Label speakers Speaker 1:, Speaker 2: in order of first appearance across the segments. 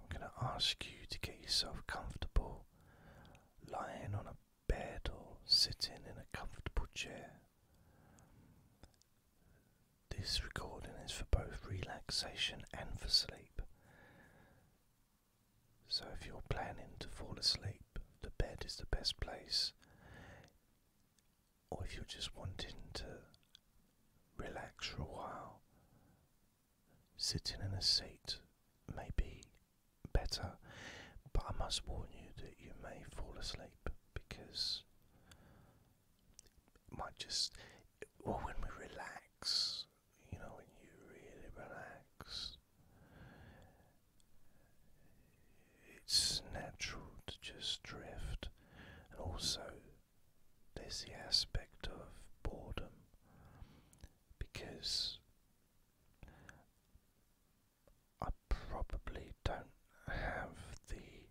Speaker 1: I'm going to ask you to get yourself comfortable lying on a bed or sitting in a comfortable chair. This recording is for both relaxation and for sleep. So, if you're planning to fall asleep, the bed is the best place. Or if you're just wanting to relax for a while, Sitting in a seat may be better, but I must warn you that you may fall asleep because it might just, or when we relax, you know, when you really relax, it's natural to just drift, and also there's the aspect of boredom because I probably don't have the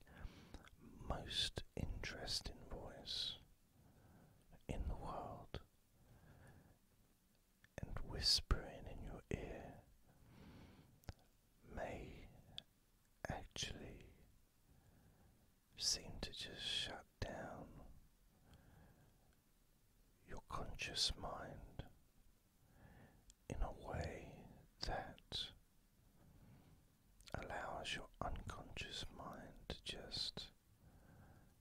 Speaker 1: most interesting voice in the world, and whispering in your ear may actually seem to just shut down your conscious mind in a way that allows your unconscious mind to just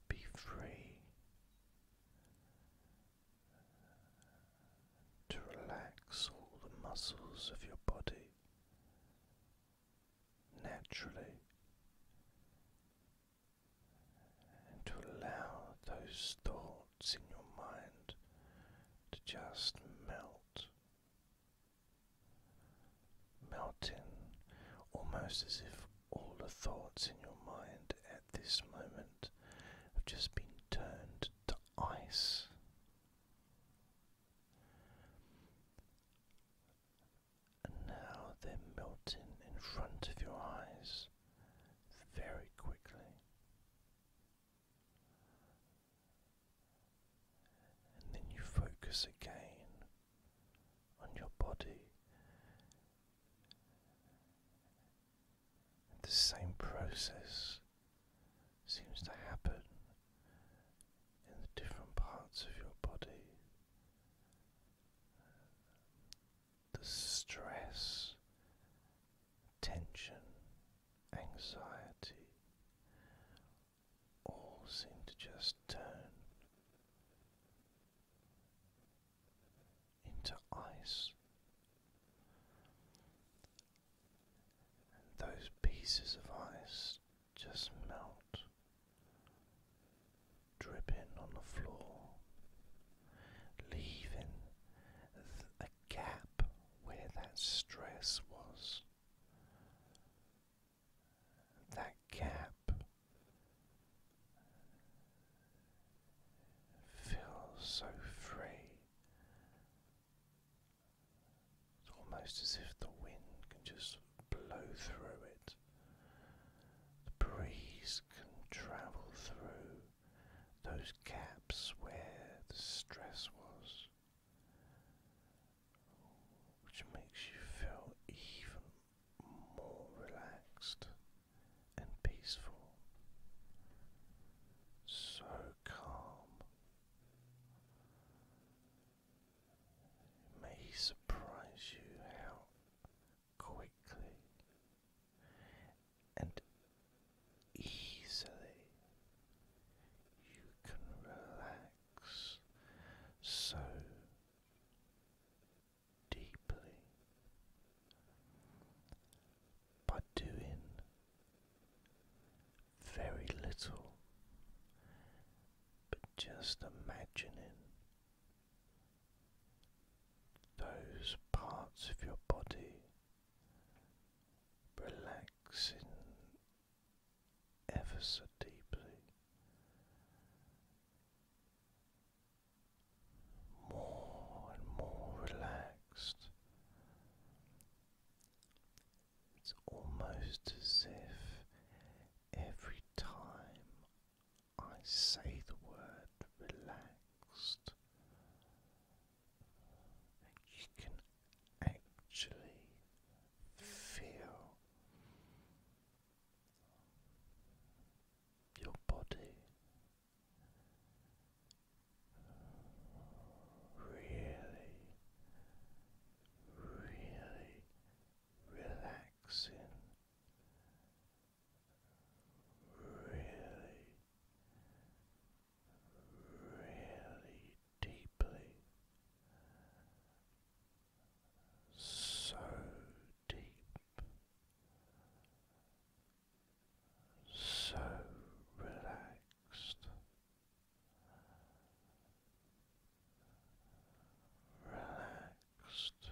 Speaker 1: be free to relax all the muscles of your body naturally and to allow those thoughts in your mind to just melt, melting almost as if all the thoughts in your mind at this moment have just been turned to ice. And now they're melting in front of your eyes very quickly. And then you focus again on your body. The same process seems to happen in the different parts of your body. The stress, tension, anxiety all seem to just turn into ice. those pieces of ice just melt, dripping on the floor, leaving a gap where that stress was. That gap feels so free. It's almost as if the wind can just blow through it. The breeze can travel through those gaps where the stress was, which makes you feel even more relaxed and peaceful. So calm. May surprise you how quickly and easily you can relax so deeply by doing very little, but just imagining those parts of your body relaxing ever so deeply, more and more relaxed. It's almost as if every time I say the word relaxed, you can actually feel your body really, really relaxing, really, really deeply, so deep. So relaxed, relaxed.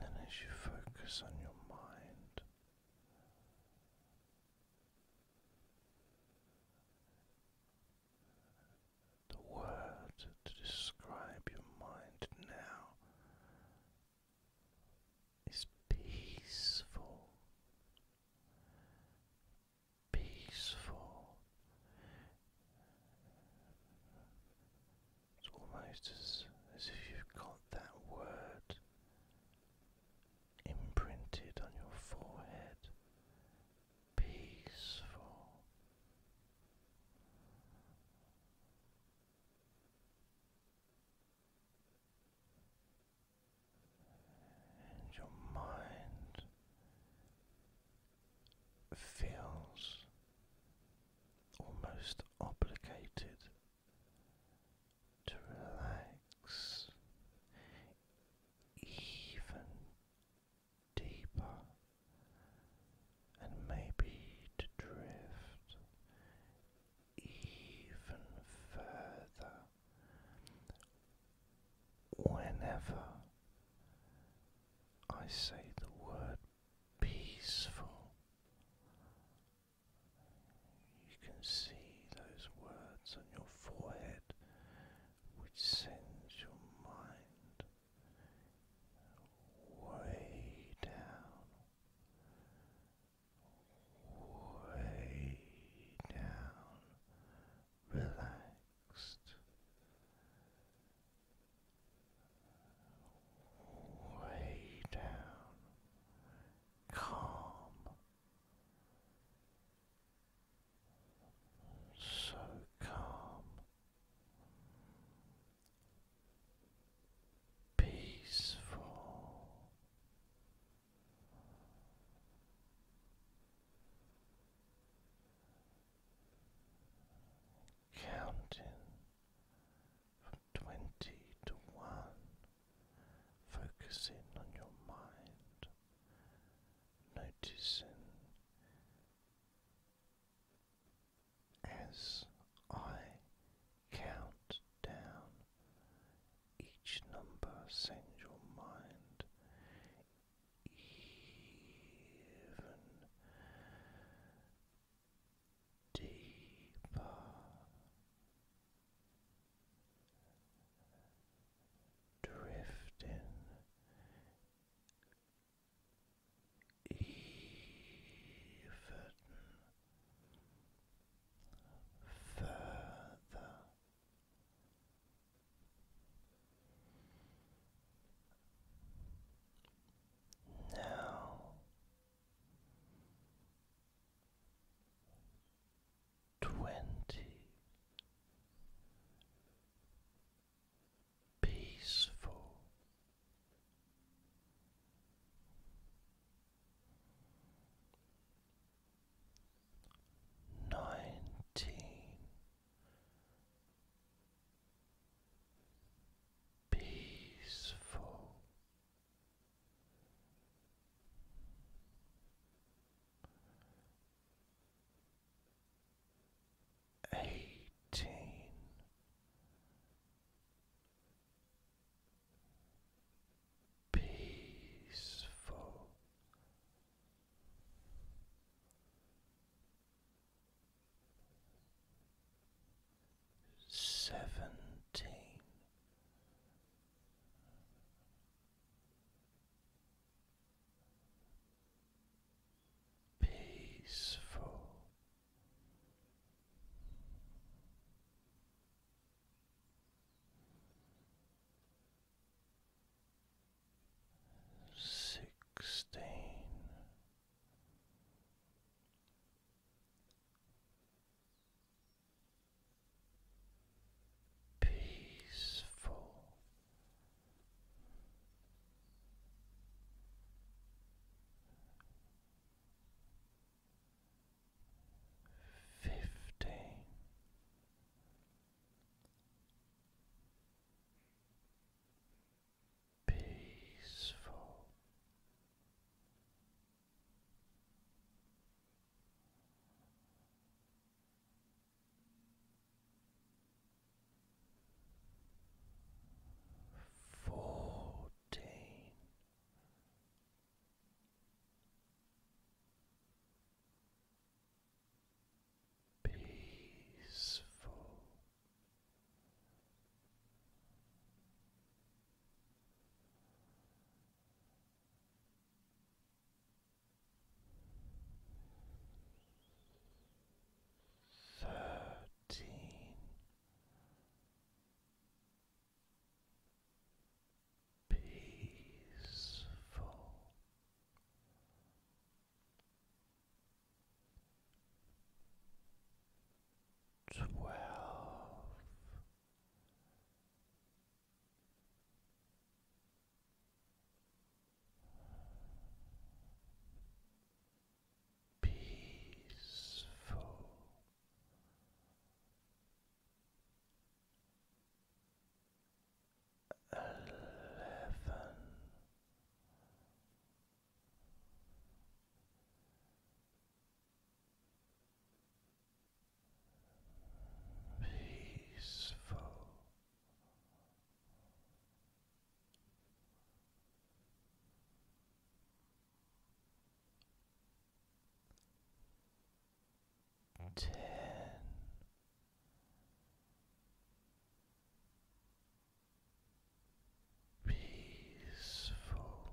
Speaker 1: And as you focus on your mind, the word to describe your mind now is peaceful. Peaceful. It's almost as, if you've got that word imprinted on your forehead. Peaceful and your mind feels almost obligated to relax even deeper, and maybe to drift even further whenever I say the word peaceful. You can see those words on your forehead, which sends your mind way down, way down, relaxed, way down, calm. So calm, peaceful. Counting from twenty to one, focusing on your mind, noticing as I count down each number, sends your mind even deeper. Drifting even further. Now twenty peaceful. Nineteen peaceful eighteen. Peaceful seventeen peaceful. Sixteen, peaceful, fifteen. Peaceful fourteen. Peaceful thirteen peaceful twelve peaceful. Eleven. Peaceful ten peaceful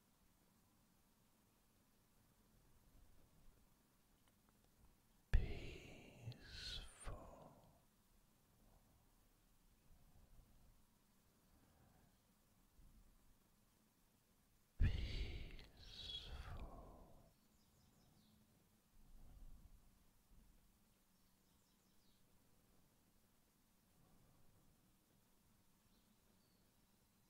Speaker 1: Peaceful, peaceful,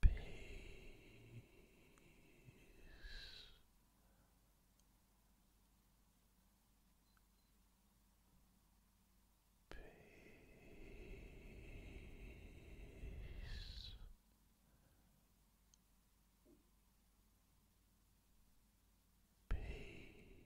Speaker 1: Peace. Peace. Peace.